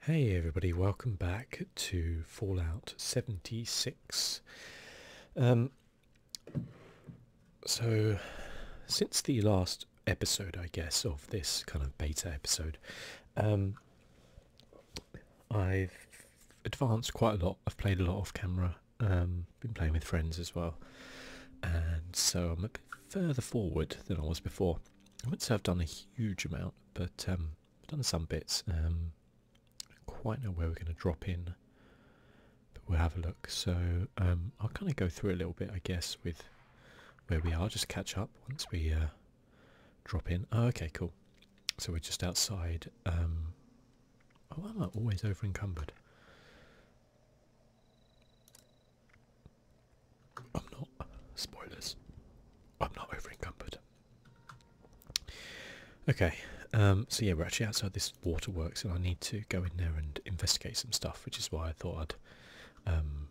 Hey everybody, welcome back to Fallout 76. Um, so, since the last episode, I guess, of this kind of beta episode, um, I've advanced quite a lot. I've played a lot off camera, um, been playing with friends as well, and so I'm a bit further forward than I was before. I wouldn't say I've done a huge amount, but um, I've done some bits. I um, don't quite know where we're going to drop in, but we'll have a look. So um, I'll kind of go through a little bit, I guess, with where we are. Just catch up once we uh, drop in. Oh, okay, cool. So we're just outside. Um, oh, I'm always overencumbered? I'm not. Spoilers. I'm not over Okay, um, so yeah, we're actually outside this waterworks and I need to go in there and investigate some stuff, which is why I thought I'd um,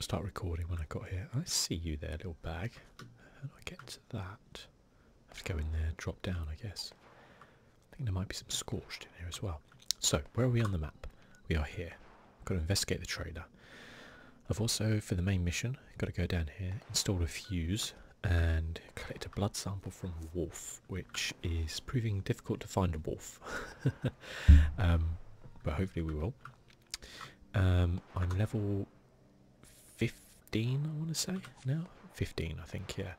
start recording when I got here. I see you there, little bag. How I get to that? have to go in there, drop down, I guess. I think there might be some scorched in here as well. So, where are we on the map? We are here. Got to investigate the trader. I've also, for the main mission, got to go down here, install a fuse, and collect a blood sample from wolf, which is proving difficult to find a wolf. Um, but hopefully we will. Um, I'm level 15, I want to say, now? 15, I think, yeah.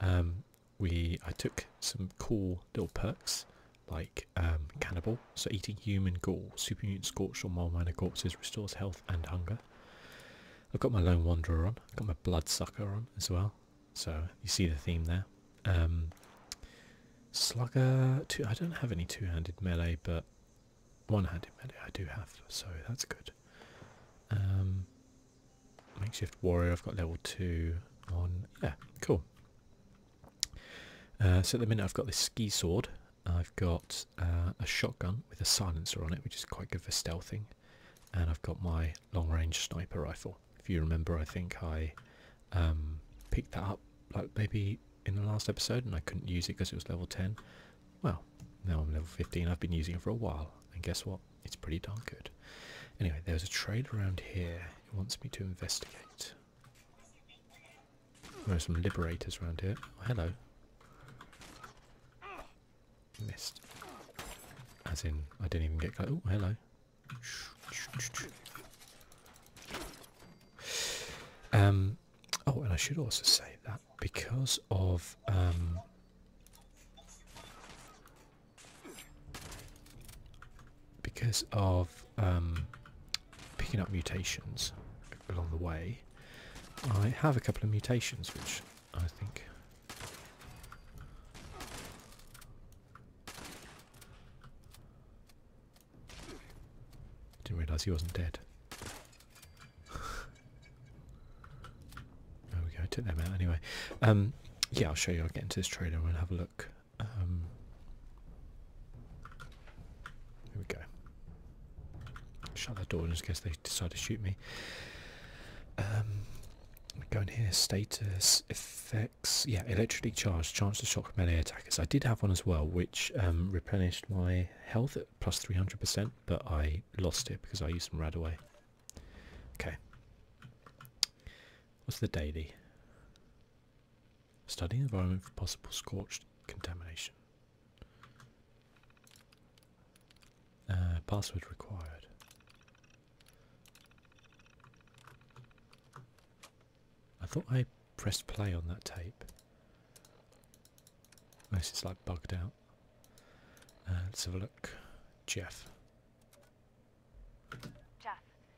Um, we I took some cool little perks like um, cannibal, so eating human gore, super mutant scorched or mole manor corpses restores health and hunger. I've got my lone wanderer on, I've got my bloodsucker on as well, so you see the theme there. Um, slugger, two, I don't have any two-handed melee, but one-handed melee I do have, so that's good. Um, makeshift warrior, I've got level 2 on, yeah, cool. Uh, so at the minute I've got this ski sword. I've got uh, a shotgun with a silencer on it, which is quite good for stealthing. And I've got my long-range sniper rifle. If you remember, I think I um, picked that up like maybe in the last episode, and I couldn't use it because it was level 10. Well, now I'm level 15. I've been using it for a while, and guess what? It's pretty darn good. Anyway, there's a trade around here. It wants me to investigate. There's some liberators around here. Oh, hello. Missed. As in, I didn't even get close. Oh, hello. Um, oh, and I should also say that because of um, because of um, picking up mutations along the way, I have a couple of mutations which I think didn't realise he wasn't dead. there we go, took them out anyway. Um, yeah, I'll show you. I'll get into this trailer and we'll have a look. Um, here we go. Shut that door in case they decide to shoot me. Um, go in here. Status effects. Yeah, electrically charged. Chance to shock melee attackers. I did have one as well, which um, replenished my health at plus 300%, but I lost it because I used them right away. Okay. What's the daily? Studying environment for possible scorched contamination. Uh, password required. I thought I pressed play on that tape. Unless it's like bugged out. Uh, let's have a look. Jeff. Jeff,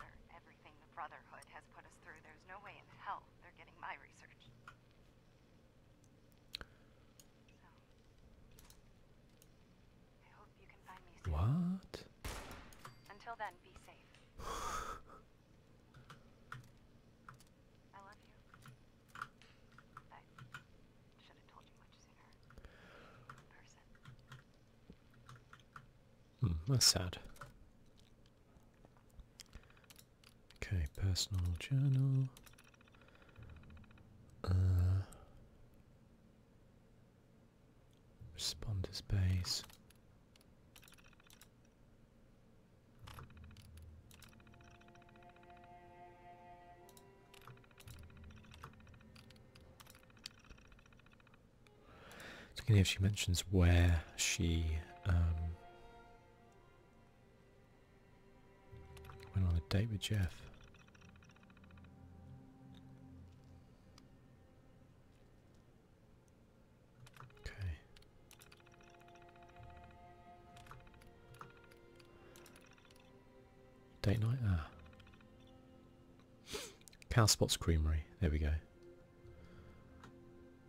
After everything the Brotherhood has put us through, there's no way in hell they're getting my research. What? Until then, be safe. I love you. should have told you Hmm, that's sad. Okay, personal journal. Uh, responders base. Looking if she mentions where she um, went on a date with Jeff. Okay. Date night? Ah. Cow Spots Creamery. There we go.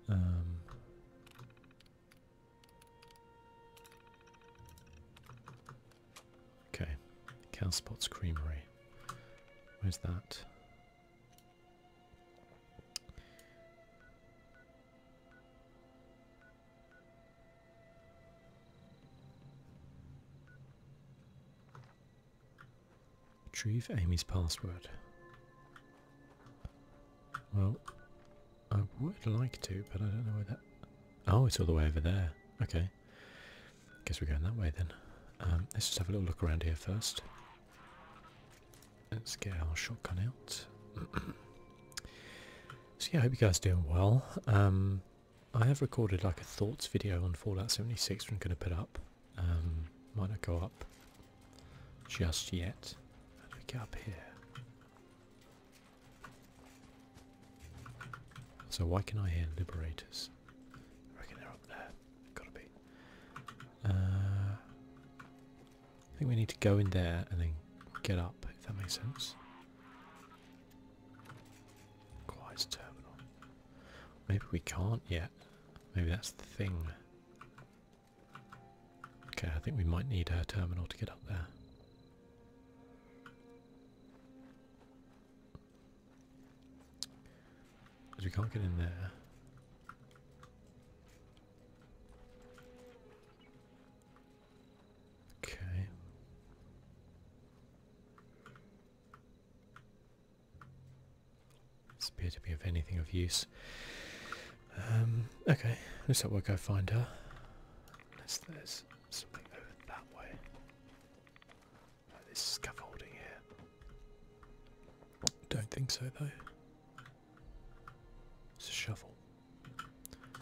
Um, okay. Cow Spots Creamery. Where's that? Retrieve Amy's password. Well, I would like to, but I don't know where that... Oh, it's all the way over there. Okay. Guess we're going that way then. Um, let's just have a little look around here first. Let's get our shotgun out. so yeah, I hope you guys are doing well. Um, I have recorded like a thoughts video on Fallout 76 I'm going to put up. Um, might not go up just yet. How do we get up here? So why can I hear liberators? I reckon they're up there. Gotta be. Uh, I think we need to go in there and then get up, if that makes sense. Quiet terminal. Maybe we can't yet. Maybe that's the thing. Okay, I think we might need a terminal to get up there. Because we can't get in there. Okay. Doesn't appear to be of anything of use. Um, okay, looks like we'll go find her. Unless there's something over that way. Like this scaffolding here. Don't think so though. It's a shovel.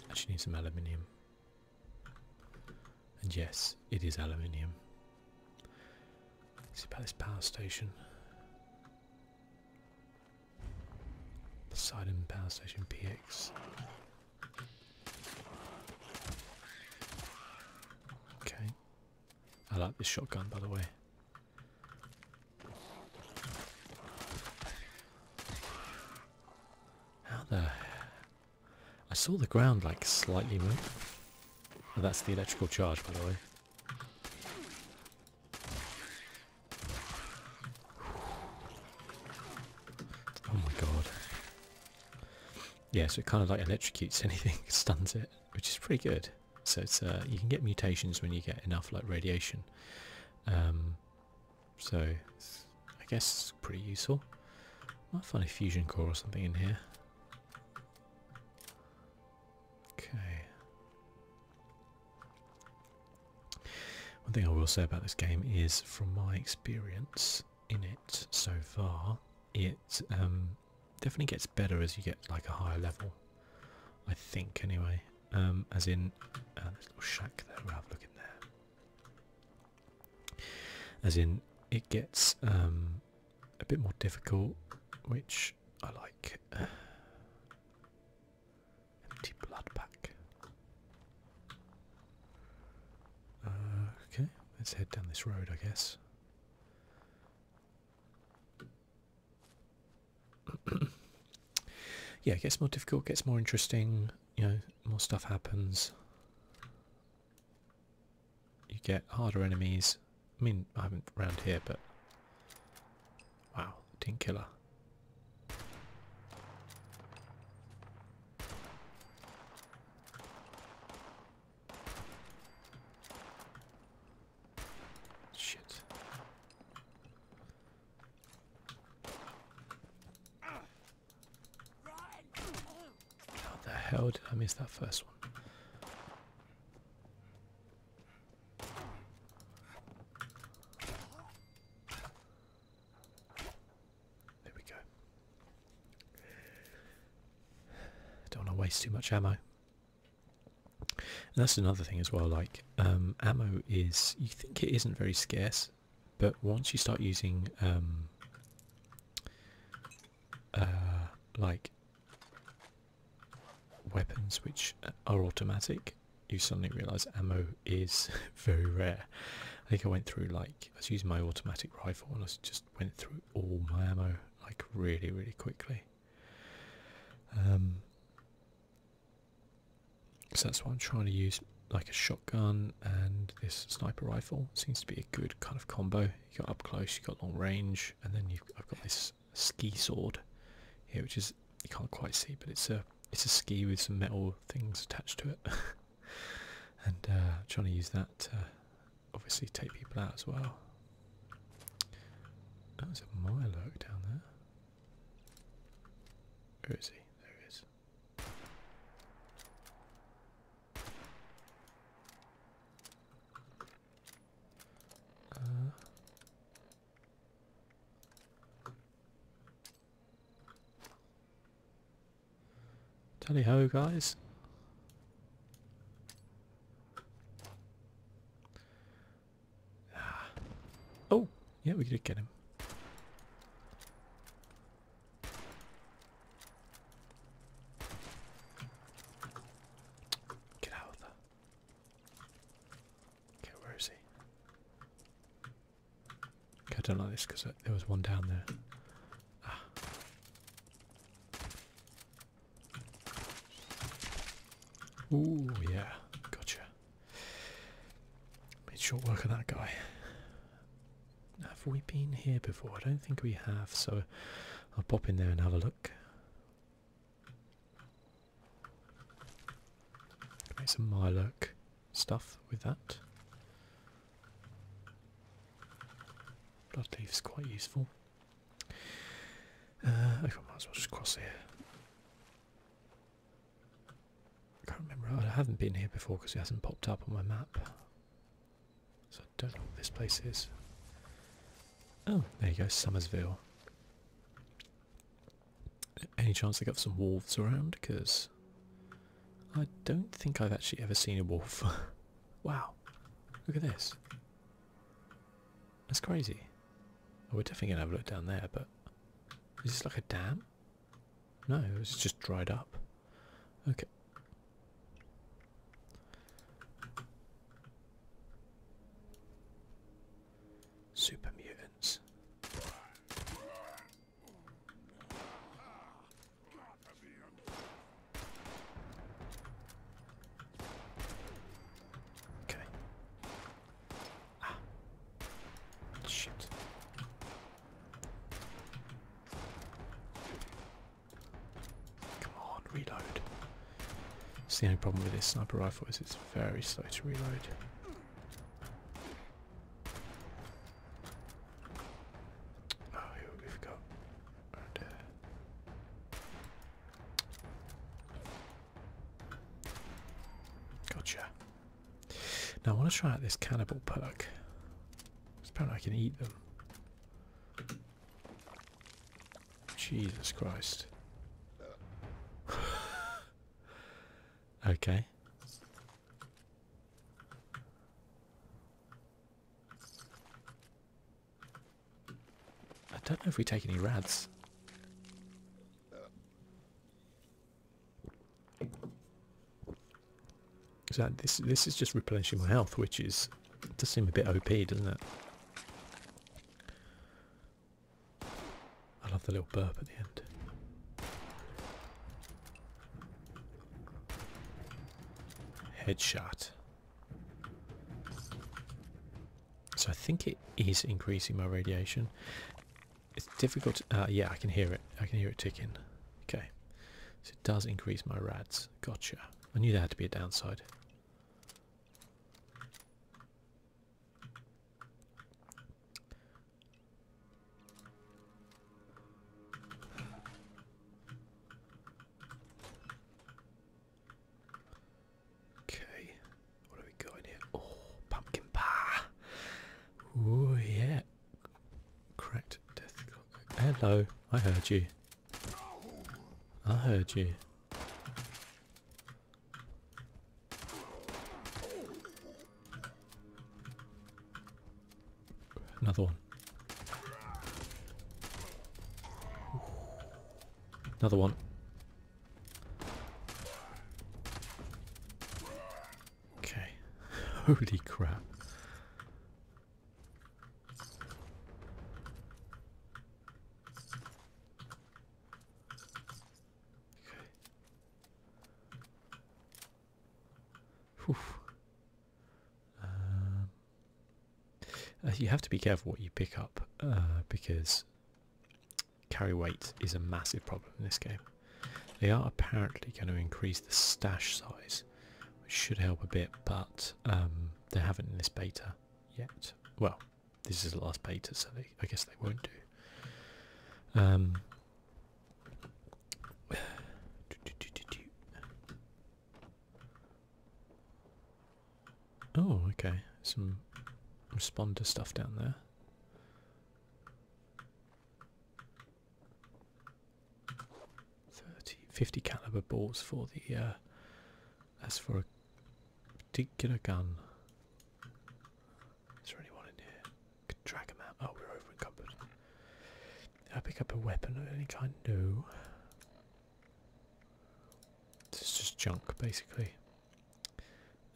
Actually need some aluminium. And yes, it is aluminium. See about this power station. Poseidon Power Station PX. Okay. I like this shotgun by the way. How the I saw the ground like slightly move. Oh, that's the electrical charge, by the way. Oh my god. Yeah, so it kind of like electrocutes anything, stuns it, which is pretty good. So it's uh, you can get mutations when you get enough like radiation. Um, so I guess pretty useful. Might find a fusion core or something in here. Okay. One thing I will say about this game is, from my experience in it so far, it um, definitely gets better as you get like a higher level. I think, anyway. Um, as in, uh, this little shack there. we have a look in there as in it gets um, a bit more difficult, which I like. empty blood pack. Uh, okay, let's head down this road, I guess. yeah, it gets more difficult, gets more interesting, you know, more stuff happens you get harder enemies. I mean, I haven't round here, but wow, team killer. Shit. How the hell did I miss that first one? There we go. Don't want to waste too much ammo. And that's another thing as well, like um, ammo is, you think it isn't very scarce, but once you start using um, uh, like weapons which are automatic, you suddenly realise ammo is very rare. I think I went through like I was using my automatic rifle and I just went through all my ammo like really really quickly. Um, so that's why I'm trying to use like a shotgun and this sniper rifle seems to be a good kind of combo you got up close, you got long range, and then I've got this ski sword here, which is you can't quite see, but it's a it's a ski with some metal things attached to it, and uh, trying to use that to obviously take people out as well. That was a mile look down there. Where is he? There he is. Uh, tally ho guys. Ah. Oh, yeah, we did get him. Get out of the. Okay, where is he? Okay, I don't like this because there was one down there. Oh yeah, gotcha. Made short work of that guy have we been here before? I don't think we have, so I'll pop in there and have a look. Make some Miloc stuff with that. Bloodleaf's quite useful. I uh, might as well just cross here. I can't remember, I haven't been here before because it hasn't popped up on my map. So I don't know what this place is. Oh, there you go, Summersville. Any chance they got some wolves around? Because I don't think I've actually ever seen a wolf. wow, look at this. That's crazy. Oh, we're definitely going to have a look down there, but is this like a dam? No, it's just dried up. Okay, Super mutants. Okay. Ah. Shit. Come on, reload. It's the only problem with this sniper rifle is it's very slow to reload. Oh, who we forgot? Right gotcha. Now I want to try out this cannibal perk. Apparently I can eat them. Jesus Christ. okay. I don't know if we take any rads. So this is just replenishing my health, which is does seem a bit OP, doesn't it? I love the little burp at the end. Headshot. So I think it is increasing my radiation. It's difficult. Uh, yeah, I can hear it. I can hear it ticking. Okay. So it does increase my rads. Gotcha. I knew there had to be a downside. Okay, what have we got in here? Oh, pumpkin pie! Oh yeah, cracked death Hello, I heard you. I heard you. Another one. Another one. Okay. Holy crap. Okay. Um, you have to be careful what you pick up uh, because carry weight is a massive problem in this game. They are apparently going to increase the stash size, which should help a bit, but um, they haven't in this beta yet. Well, this is the last beta, so I guess they won't do. Um, do. Oh, okay. Some responder stuff down there. 30, 50 caliber balls for the uh, as for a particular gun. Is there anyone in here? Could drag them out. Oh, we're over encumbered. I pick up a weapon of any kind? No. It's just junk, basically.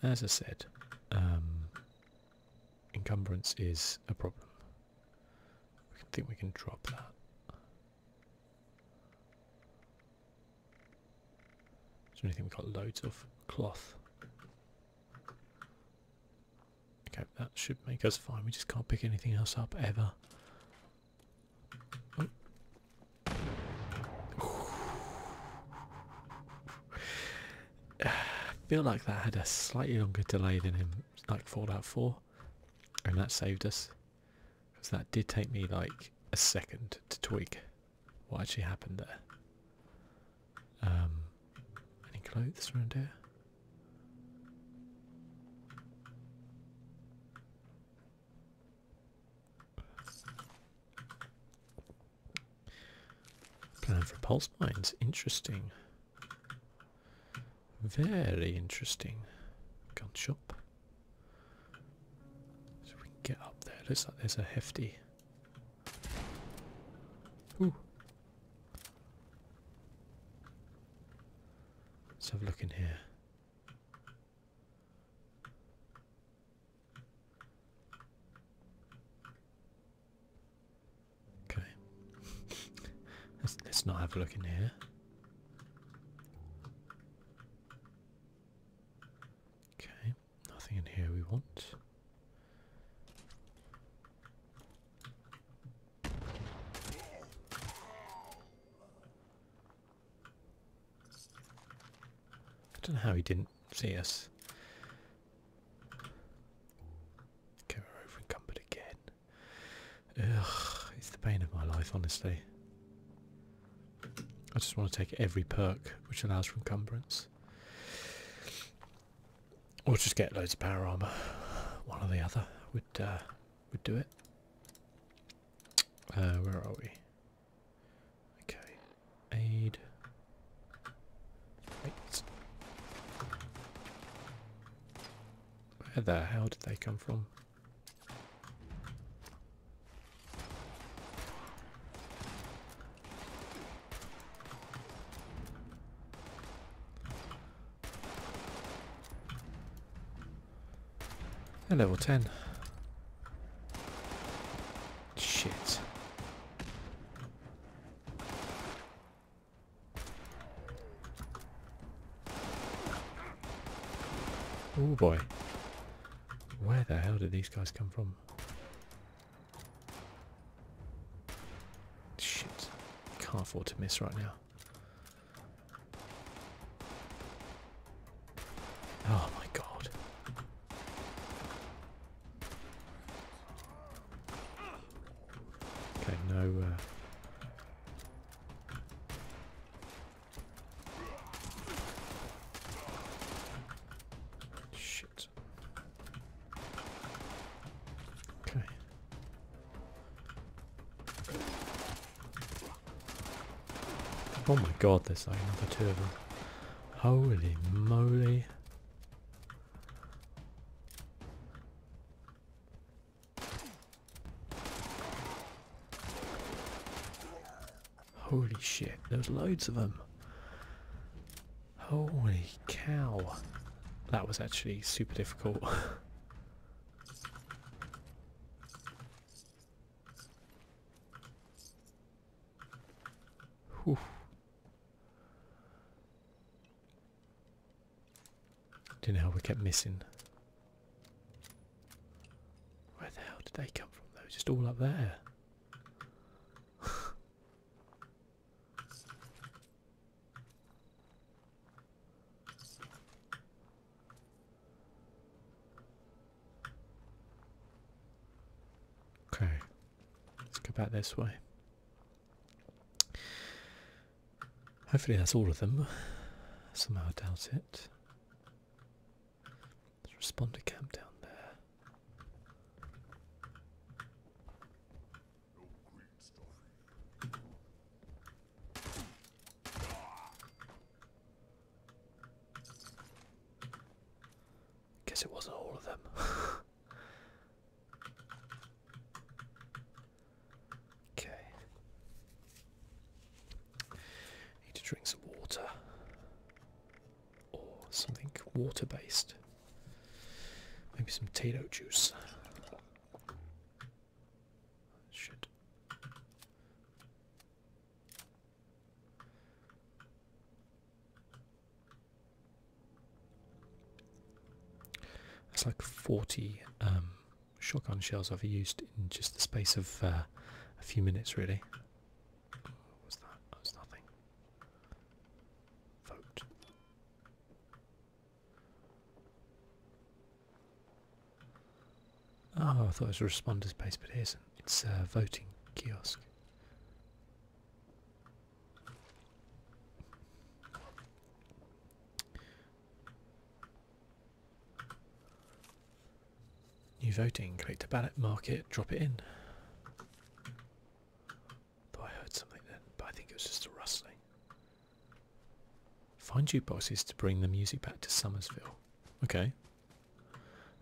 As I said, um, encumbrance is a problem. I think we can drop that. Is anything we've got loads of? Cloth. Okay, that should make us fine. We just can't pick anything else up ever. Oh. I feel like that had a slightly longer delay than in like Fallout 4 and that saved us. Because that did take me like a second to tweak what actually happened there. Um, any clothes around here? Plan for pulse mines, interesting. Very interesting gun shop. So we can get up there. Looks like there's a hefty. Let's have a look in here. Okay. let's not have a look in here. Okay, nothing in here we want. I don't know how he didn't see us. Okay, we're over again. Ugh, it's the pain of my life, honestly. I just want to take every perk which allows for encumbrance. Or just get loads of power armor. One or the other would uh, would do it. Uh, where are we? Okay, aid. Wait. Where the hell did they come from? They're level 10. Shit. Oh boy. Where the hell did these guys come from? Shit. Can't afford to miss right now. Oh my god. Okay, no... Uh, Shit. Okay. Oh my god, there's like another two of them. Holy moly. Holy shit, there's loads of them. Holy cow. That was actually super difficult. Whew. Didn't know how we kept missing. Where the hell did they come from though? Just all up there. okay, let's go back this way. Hopefully that's all of them. Somehow I doubt it. There's a responder camp down there. Guess it wasn't all of them. Okay. Need to drink some water or something water based. Maybe some Tato juice. Should. That's like forty um, shotgun shells I've used in just the space of uh, a few minutes, really. was that? was nothing. Vote. Oh, I thought it was a responder's base, but it isn't. It's a voting kiosk. New voting, Click the ballot, mark it, drop it in. Though I heard something then, but I think it was just a rustling. Find jukeboxes to bring the music back to Summersville. Okay.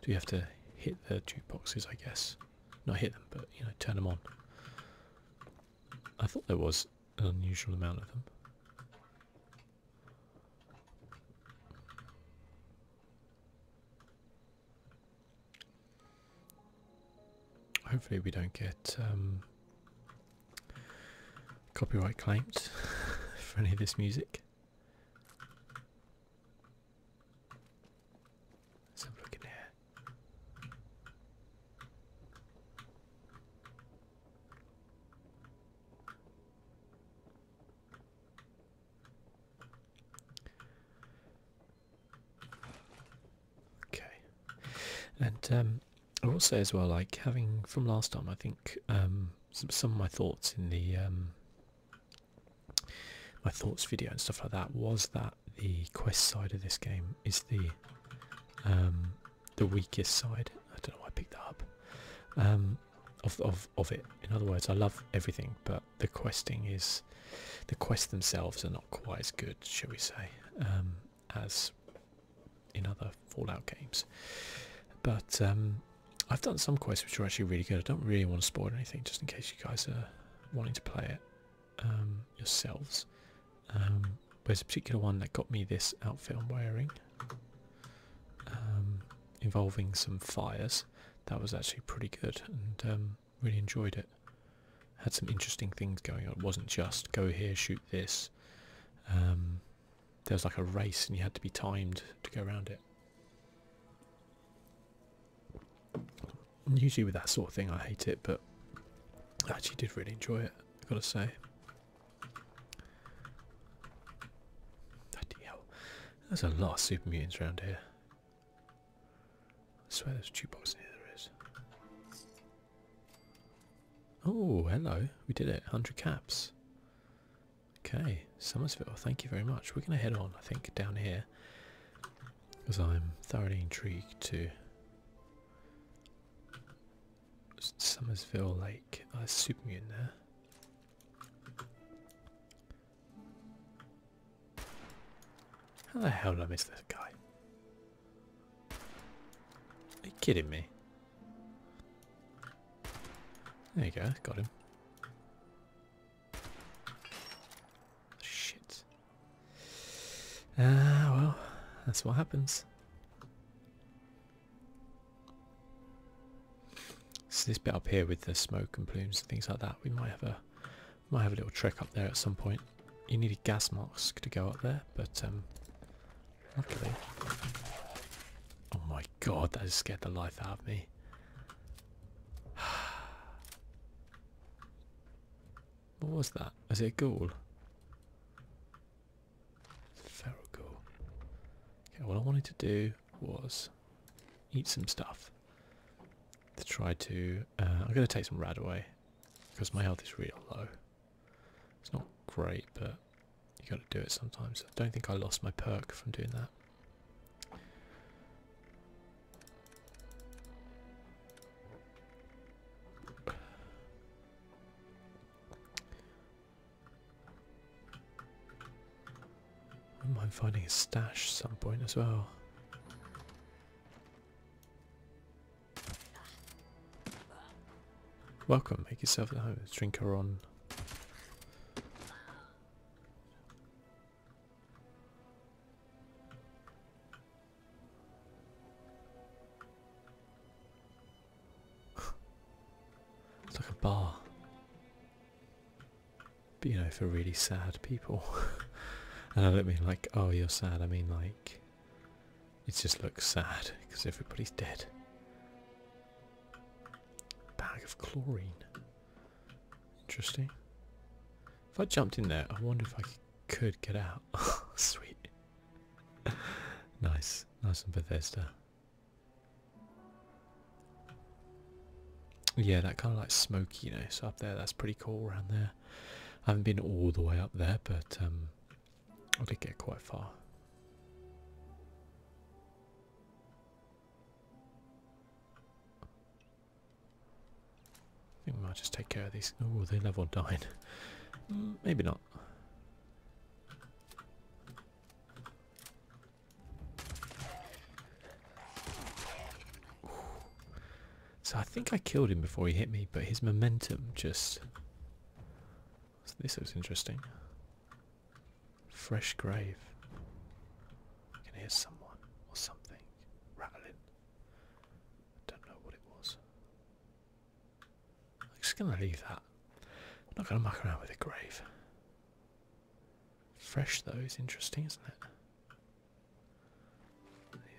Do you have to hit the jukeboxes, I guess? Not hit them, but, you know, turn them on. I thought there was an unusual amount of them. Hopefully we don't get um, copyright claims for any of this music. Let's have a look in here. Okay, and um, will say as well, like having from last time, I think um, some of my thoughts in the um, my thoughts video and stuff like that was that the quest side of this game is the the weakest side. I don't know why I picked that up. of of it. In other words, I love everything, but the questing is, the quests themselves are not quite as good, shall we say, um, as in other Fallout games. But um, I've done some quests which are actually really good. I don't really want to spoil anything, just in case you guys are wanting to play it um, yourselves. there's a particular one that got me this outfit I'm wearing, um, involving some fires. That was actually pretty good and um, really enjoyed it. Had some interesting things going on. It wasn't just go here, shoot this. Um, there was like a race and you had to be timed to go around it. usually with that sort of thing I hate it, but I actually did really enjoy it, I've got to say. Bloody hell. There's a lot of super mutants around here. I swear there's a jukebox in here there is. Oh, hello. We did it. 100 caps. Okay, Somersville, thank you very much. We're going to head on, I think, down here. Because I'm thoroughly intrigued to... Somersville Lake. A uh, Super Mutant there. How the hell did I miss this guy? Are you kidding me? There you go, got him. Shit. Ah, well, that's what happens. So this bit up here with the smoke and plumes and things like that, we might have a might have a little trick up there at some point. You need a gas mask to go up there, but um, luckily. Oh my god, that has scared the life out of me. What was that? Was it a ghoul? Feral Okay, what I wanted to do was eat some stuff to try to... Uh, I'm going to take some rad away because my health is real low. It's not great, but you got to do it sometimes. I don't think I lost my perk from doing that. I would mind finding a stash some point as well. Welcome, make yourself at home. let drink her on. it's like bar. But, you know, for really sad people. and I don't mean like, oh, you're sad. I mean like, it just looks sad because everybody's dead. Bag of chlorine. Interesting. If I jumped in there, I wonder if I could get out. Sweet. nice. Nice and Bethesda. Yeah, that kind of like smoky, you know. So up there. That's pretty cool around there. I haven't been all the way up there, but um, I did get quite far. I think we might just take care of these. Oh, they level 9. Mm. Maybe not. So I think I killed him before he hit me, but his momentum just. So this looks interesting. Fresh grave. I can hear someone or something rattling. I don't know what it was. I'm just gonna leave that. I'm not gonna muck around with a grave. Fresh though is interesting, isn't it?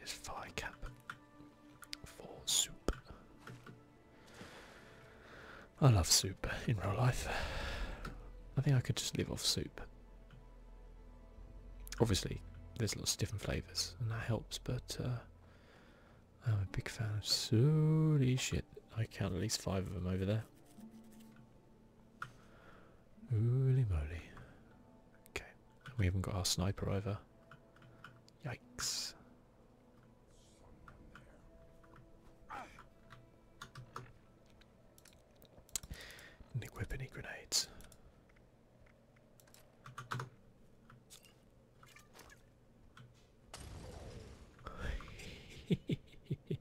This fly for soup. I love soup in real life. I think I could just live off soup. Obviously, there's lots of different flavours and that helps, but uh, I'm a big fan of soup. shit, I count at least five of them over there. Holy moly. Okay, we haven't got our sniper over. Yikes. equip any grenades.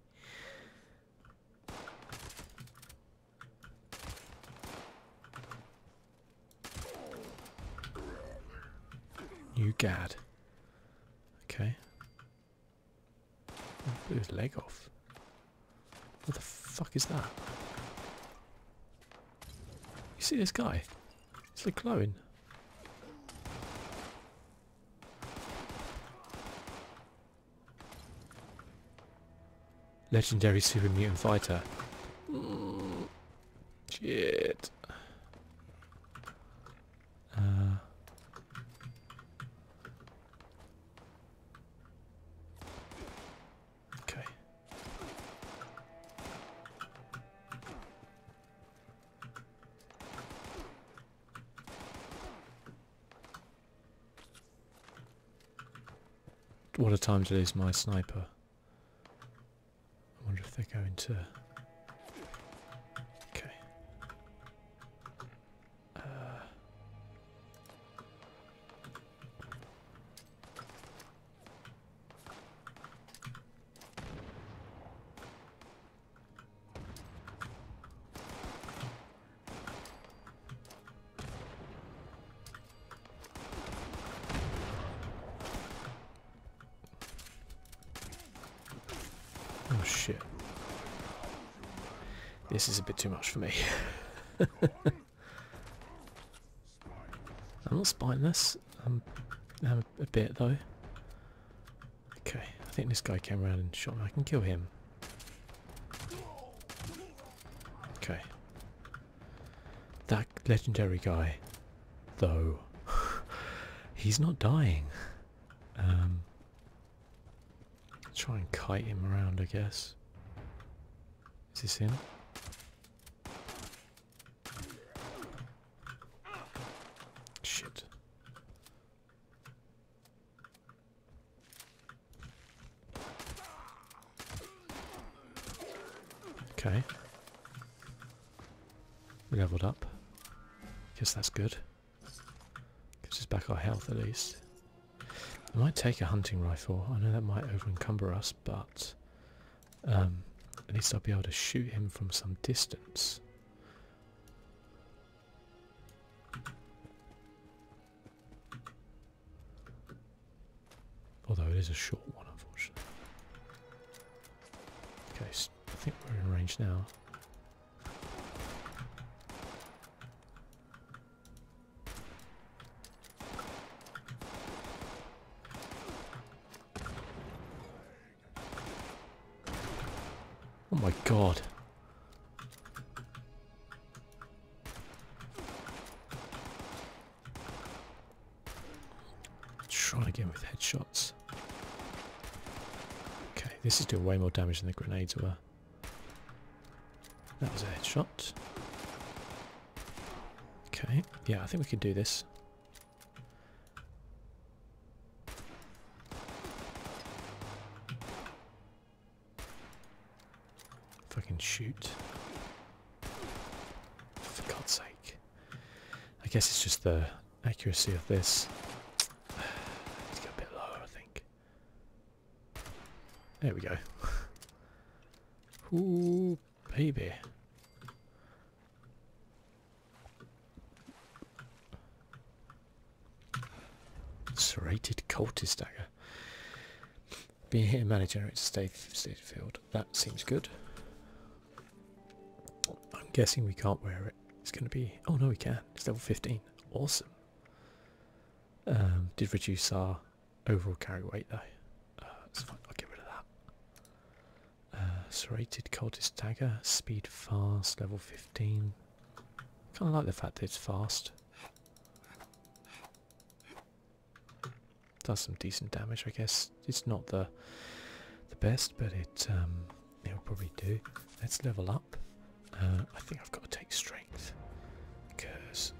New Gad. Okay. Blew his leg off. What the fuck is that? You see this guy? It's the clone. Legendary super mutant fighter. shit. Uh, okay. What a time to lose my sniper. I wonder if they're going to... Okay. Uh. Oh shit. This is a bit too much for me. I'm not spineless. I'm, a bit though. Okay, I think this guy came around and shot me. I can kill him. Okay. That legendary guy, though, he's not dying. Um, try and kite him around, I guess. Is this him? Shit. Okay. leveled up. Guess that's good. Gives us back our health at least. I might take a hunting rifle. I know that might overencumber us, but um, at least I'll be able to shoot him from some distance. Although it is a short one, unfortunately. Okay, I think we're in range now. Oh my god. Try again with headshots. Okay, this is doing way more damage than the grenades were. That was a headshot. Okay, yeah, I think we can do this. Fucking shoot. For God's sake. I guess it's just the accuracy of this. Let's go a bit lower, I think. There we go. Ooh, baby. Serrated cultist dagger. Being here manager at state field. That seems good. I'm guessing we can't wear it. It's going to be... Oh no, we can. It's level 15. Awesome. Um, did reduce our overall carry weight though. Uh, I'll get rid of that. Uh, serrated cultist dagger. Speed fast. Level 15. Kind of like the fact that it's fast. Does some decent damage, I guess. It's not the the best, but it um, it'll probably do. Let's level up. Uh, I think I've got to take strength because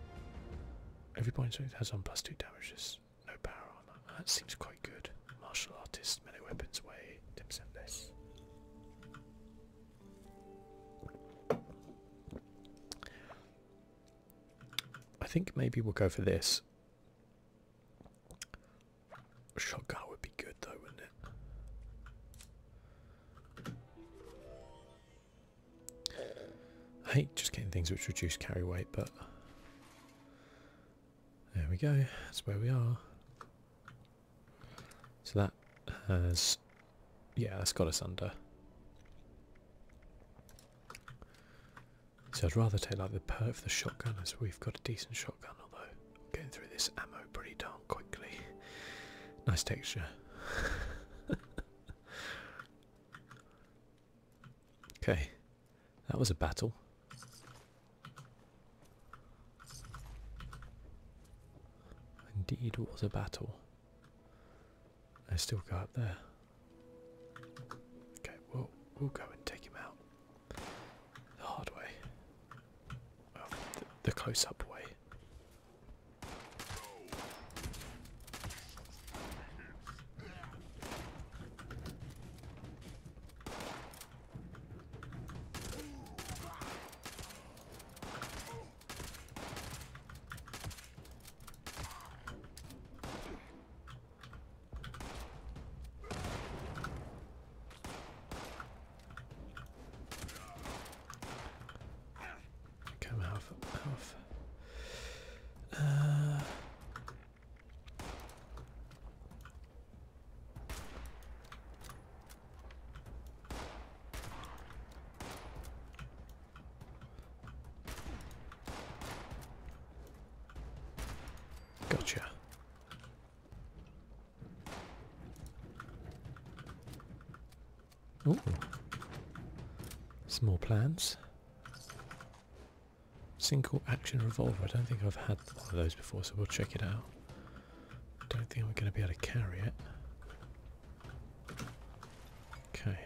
every point strength has on plus two damages. No power armor. That seems quite good. Martial artist melee weapons way, 10% less. I think maybe we'll go for this. Shotgun would be good though, wouldn't it? I hate just getting things which reduce carry weight, but there we go, that's where we are. So that has... Yeah, that's got us under. So I'd rather take like the perk of the shotgun as we've got a decent shotgun, although I'm getting through this ammo pretty darn quickly. nice texture. okay, that was a battle. Indeed was a battle. I still got there. Okay, we'll we'll go and take him out. The hard way. the close up way. Come half half. Uh, Gotcha. Oh, some more plans. Single action revolver. I don't think I've had one of those before, so we'll check it out. Don't think I'm going to be able to carry it. Okay.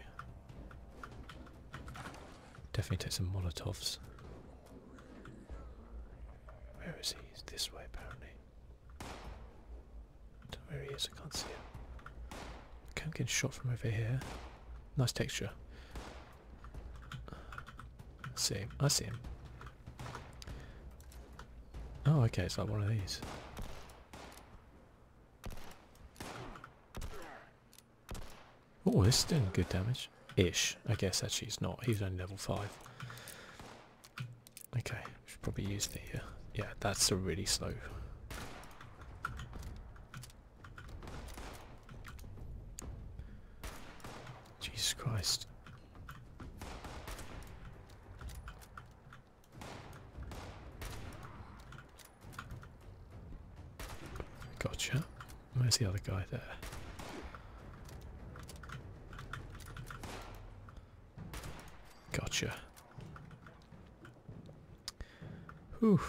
Definitely take some Molotovs. Where is he? this way apparently. Don't know where he is, I can't see him. Can't get getting shot from over here. Nice texture. see him. I see him. Oh, okay, it's like one of these. Oh, this is doing good damage. Ish. I guess actually he's not. He's only level 5. Okay, we should probably use the... Uh, yeah, that's a really slow... Jesus Christ. Gotcha. Where's the other guy there? Gotcha. Whew.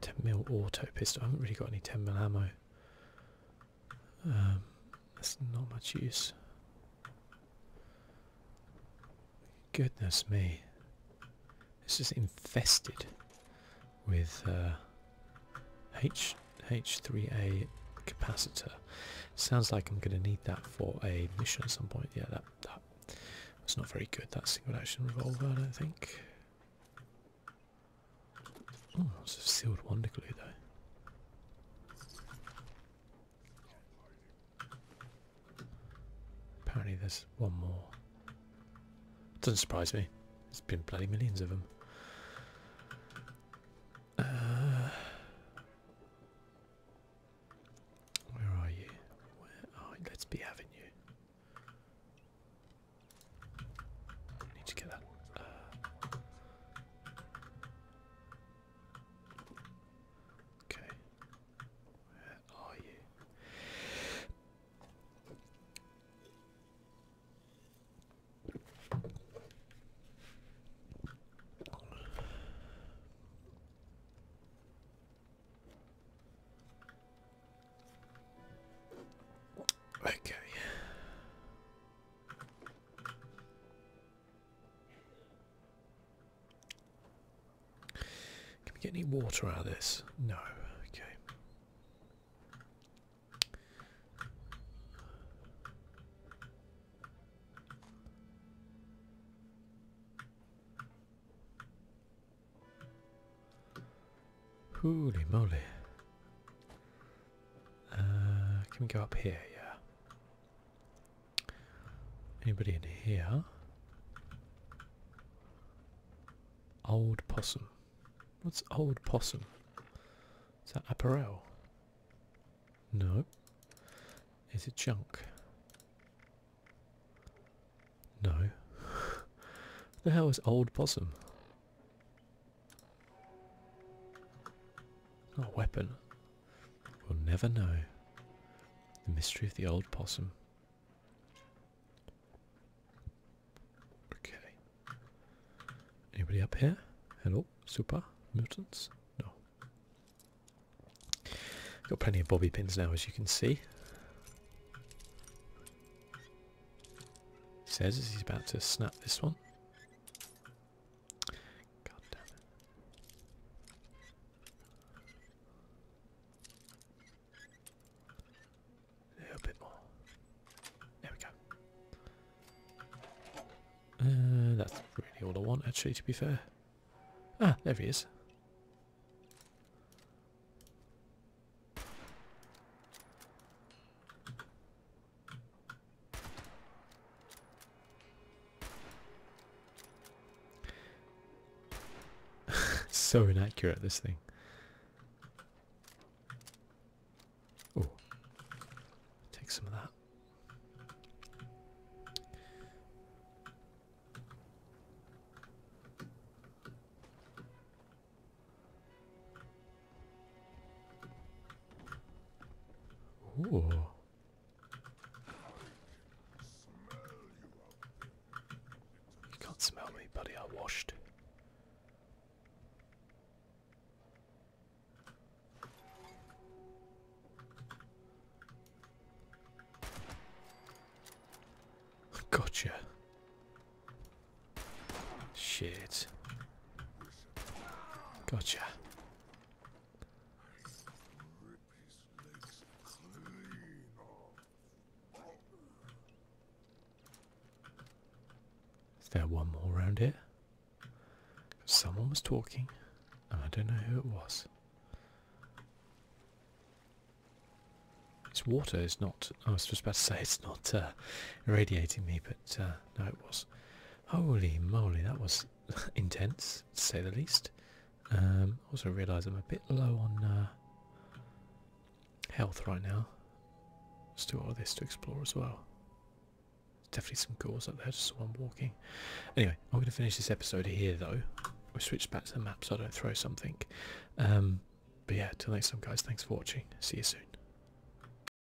Ten mil auto pistol. I haven't really got any ten mil ammo that's um, not much use. Goodness me. This is infested with uh, H H3A capacitor. Sounds like I'm going to need that for a mission at some point. Yeah, that, that was not very good, that single action revolver, I don't think. Oh, it's sealed wonder wonderfully though. Apparently there's one more. Doesn't surprise me. it has been bloody millions of them. Uh, where are you? Let's be having Need to get that. Uh, okay. Where are you? Okay. Can we get any water out of this? No. Okay. Holy moly. Uh, can we go up here? Yeah. Anybody in here? Old possum. What's old possum? Is that apparel? No. Is it junk? No. the hell is old possum? Not weapon. We'll never know. The mystery of the old possum. Okay. Anybody up here? Hello? Super? Mutants? No. Got plenty of bobby pins now as you can see. says he's about to snap this one. A bit more. There we go. Uh, that's really all I want, actually, to be fair. Ah, there he is. so inaccurate, this thing. Oh, take some of that. Ooh. You can't smell me, buddy. I washed. Gotcha. Shit. Gotcha. Is there one more around here? Someone was talking, and I don't know who it was. This water, is not. I was just about to say it's not uh, irradiating me, but uh, no, it was. Holy moly, that was intense, to say the least. Um, I also realise I'm a bit low on uh, health right now. Let's do all this to explore as well. There's definitely some ghouls up there, just one walking. Anyway, I'm going to finish this episode here though. we switched back to the map so I don't throw something. Um, but yeah, till next time guys, thanks for watching. See you soon.